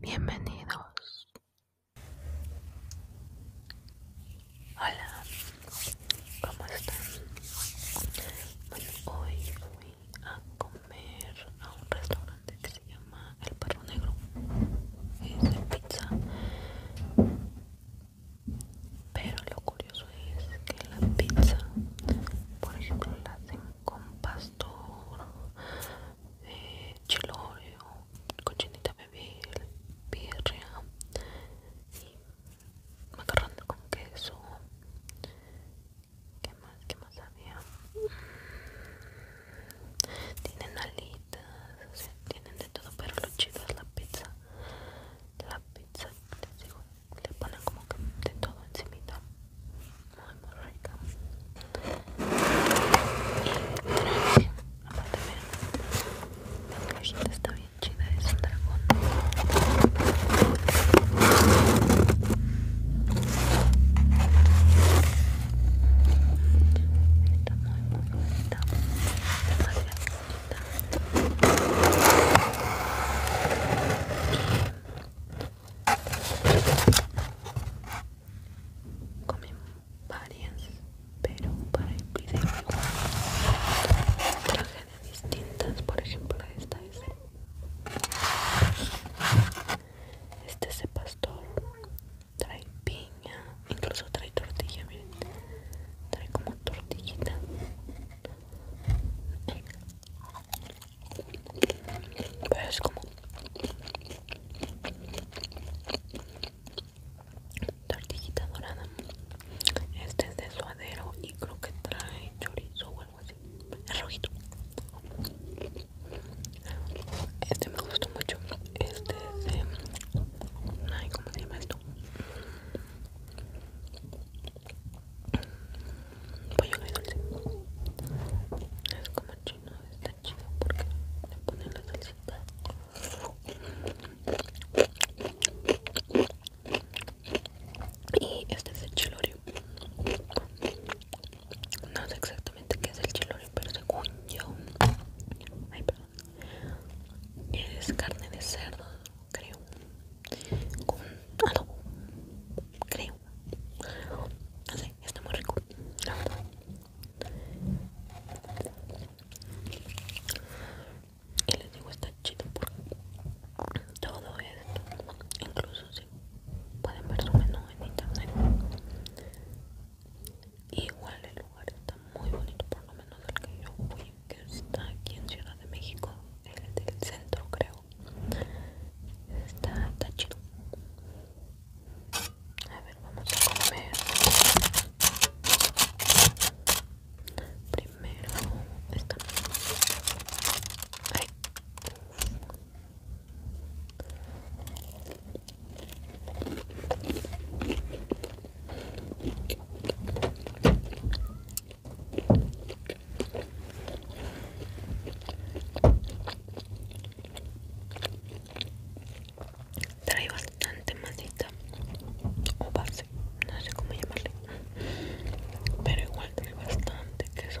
Bienvenidos. Hola, ¿cómo están? Bueno, hoy fui a comer a un restaurante que se llama El Perro Negro. Es de pizza. Pero lo curioso es que la pizza, por ejemplo, la hacen con pastor, eh, con cochinita bebé, birria y macarrón con queso. ¿Qué más? ¿Qué más había? Tienen alitas, tienen de todo, pero lo chido es la pizza la pizza les digo le ponen como que de todo encimita muy muy rica y traje aparte vean la cajita está bien chida es un dragón está muy muy bonita demasiado comí varias, pero para el video distintas, por ejemplo esta es este es pastor trae piña Incluso trae tortilla, miren. Trae como tortillita. Pero es como tortillita dorada. Este es de suadero y creo que trae chorizo o algo así. Es rojito. Este me gustó mucho. Este es de. Ay, ¿cómo se llama esto? bonito pollo muy dulce es como chino está chido porque le ponen la salsita y este es el chilorio no sé exactamente qué es el chilorio pero según yo ay perdón es carne de cerdo creo con adobo creo así está muy rico y les digo está chido por todo esto incluso si pueden ver su menú en internet Igual el lugar está muy bonito, por lo menos el que yo fui, que está aquí en Ciudad de México, el del centro creo. Está, chido. A ver, vamos a comer. Primero esta. Ay. Trae bastante masita o base, no sé cómo llamarle, pero igual trae bastante queso.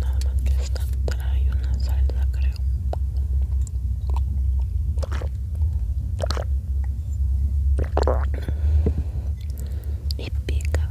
Nada más que esta y una salsa, creo. Y pica.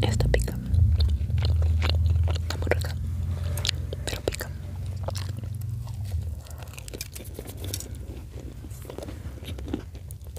Esta pica. Está muy Pero pica.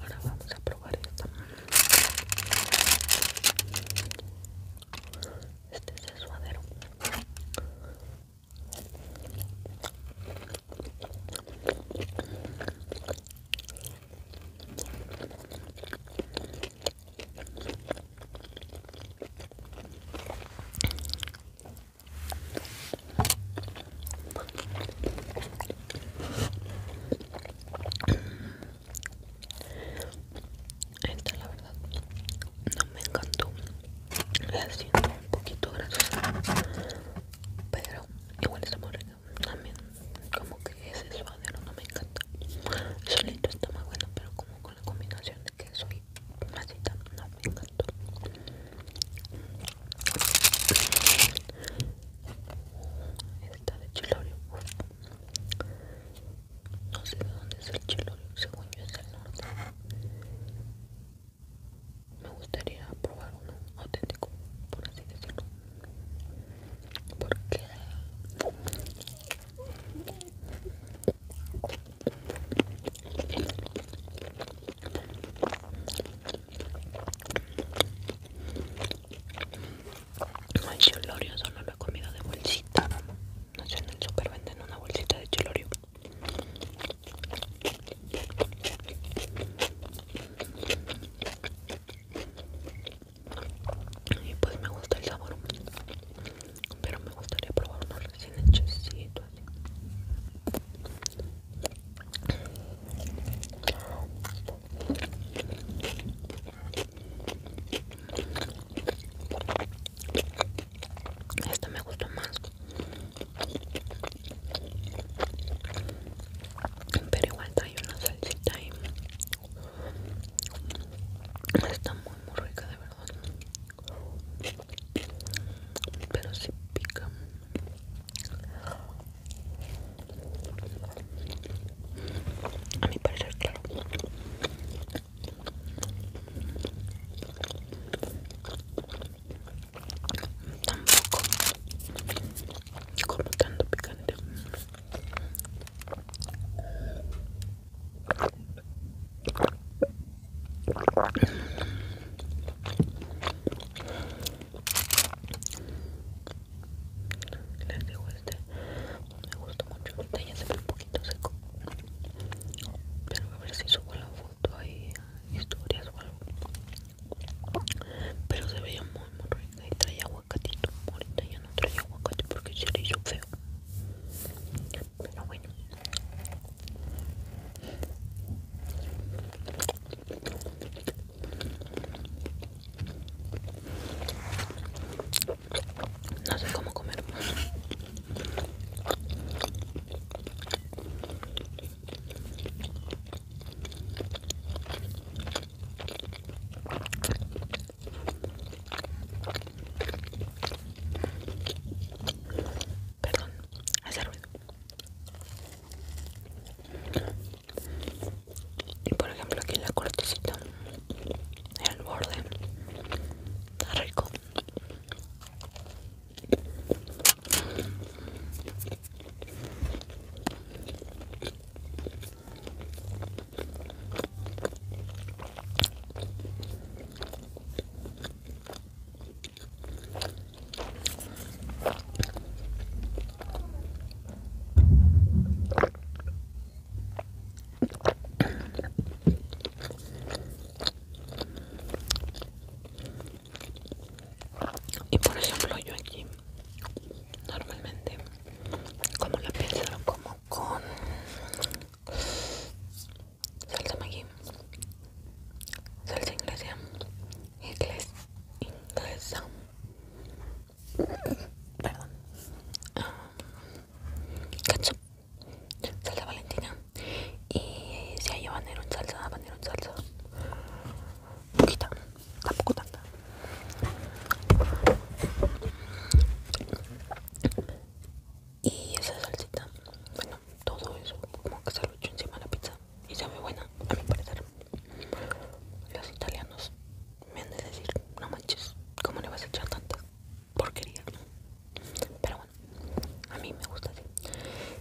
Ahora vamos a probar esto Este es el suadero. Esta la verdad no me encantó. La siento un poquito grasosa. Pero igual está muy rica. También como que ese suadero no me encanta. Solito está más bueno, pero como con la combinación de queso y masita, no me encantó. Esta de Chilorio, no sé de dónde es el Chilorio, según yo es del norte. Me gustaría probar uno auténtico, por así decirlo, porque el chilorio cholorio, solo lo he comido de bolsita. No sé, en el super venden una bolsita de cholorio. Y pues me gusta el sabor pero me gustaría probar una recién hechecitos así este me gusta más pero igual trae una salsita y está muy muy rica de verdad pero si sí pica a mi parecer claro tampoco como tanto picante les digo este, me gusta mucho, ahorita ya se ve un poquito seco. Pero a ver si subo la foto ahí, historias o algo. Pero se veía muy muy rica y traía aguacatito. Ahorita ya no traía aguacate porque se le hizo feo pero bueno no sé cómo comer Perdón, hace ruido. Y por ejemplo aquí en la cortecita, el borde, está rico. Y por ejemplo yo aquí normalmente como la piel como con Salta Maggi, salta inglesa, inglés, inglesa, perdón, um, ketchup, salsa Valentina y si a habanero un salsa, habanero un salsa, poquita, tampoco tanta y esa salsita bueno todo eso como que se lo echo encima de la pizza y ve buena a mi parecer los italianos me han de decir no manches cómo le vas a echar tanta porquería pero bueno a mí me gusta así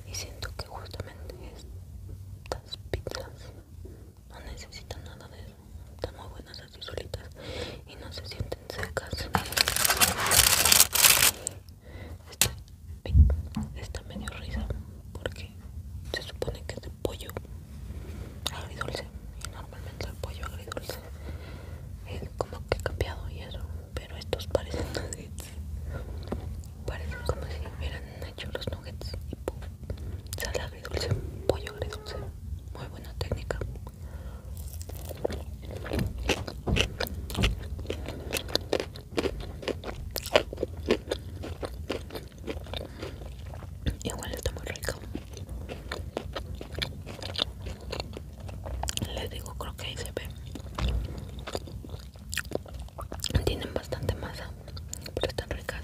y siento que justamente estas pizzas no necesitan nada de eso están muy buenas así solitas y no se sienten secas esta, medio risa porque se supone que es de pollo agridulce y normalmente el pollo agridulce es como que cambiado y eso pero estos parecen nuggets parecen como si hubieran hecho los nuggets y pum, sale agridulce pollo agridulce buena técnica igual está muy rico les digo creo que ahí se ve tienen bastante masa pero están ricas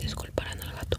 Disculparán al gato.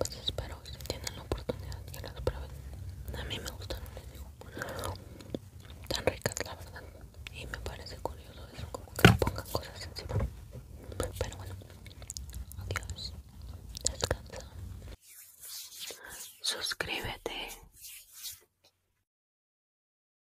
Pues espero que si tienen la oportunidad que las prueben. A mí me gustaron, les digo. Tan ricas, la verdad. Y me parece curioso eso, como que pongan cosas encima. Pero bueno, adiós. Descansa. Suscríbete.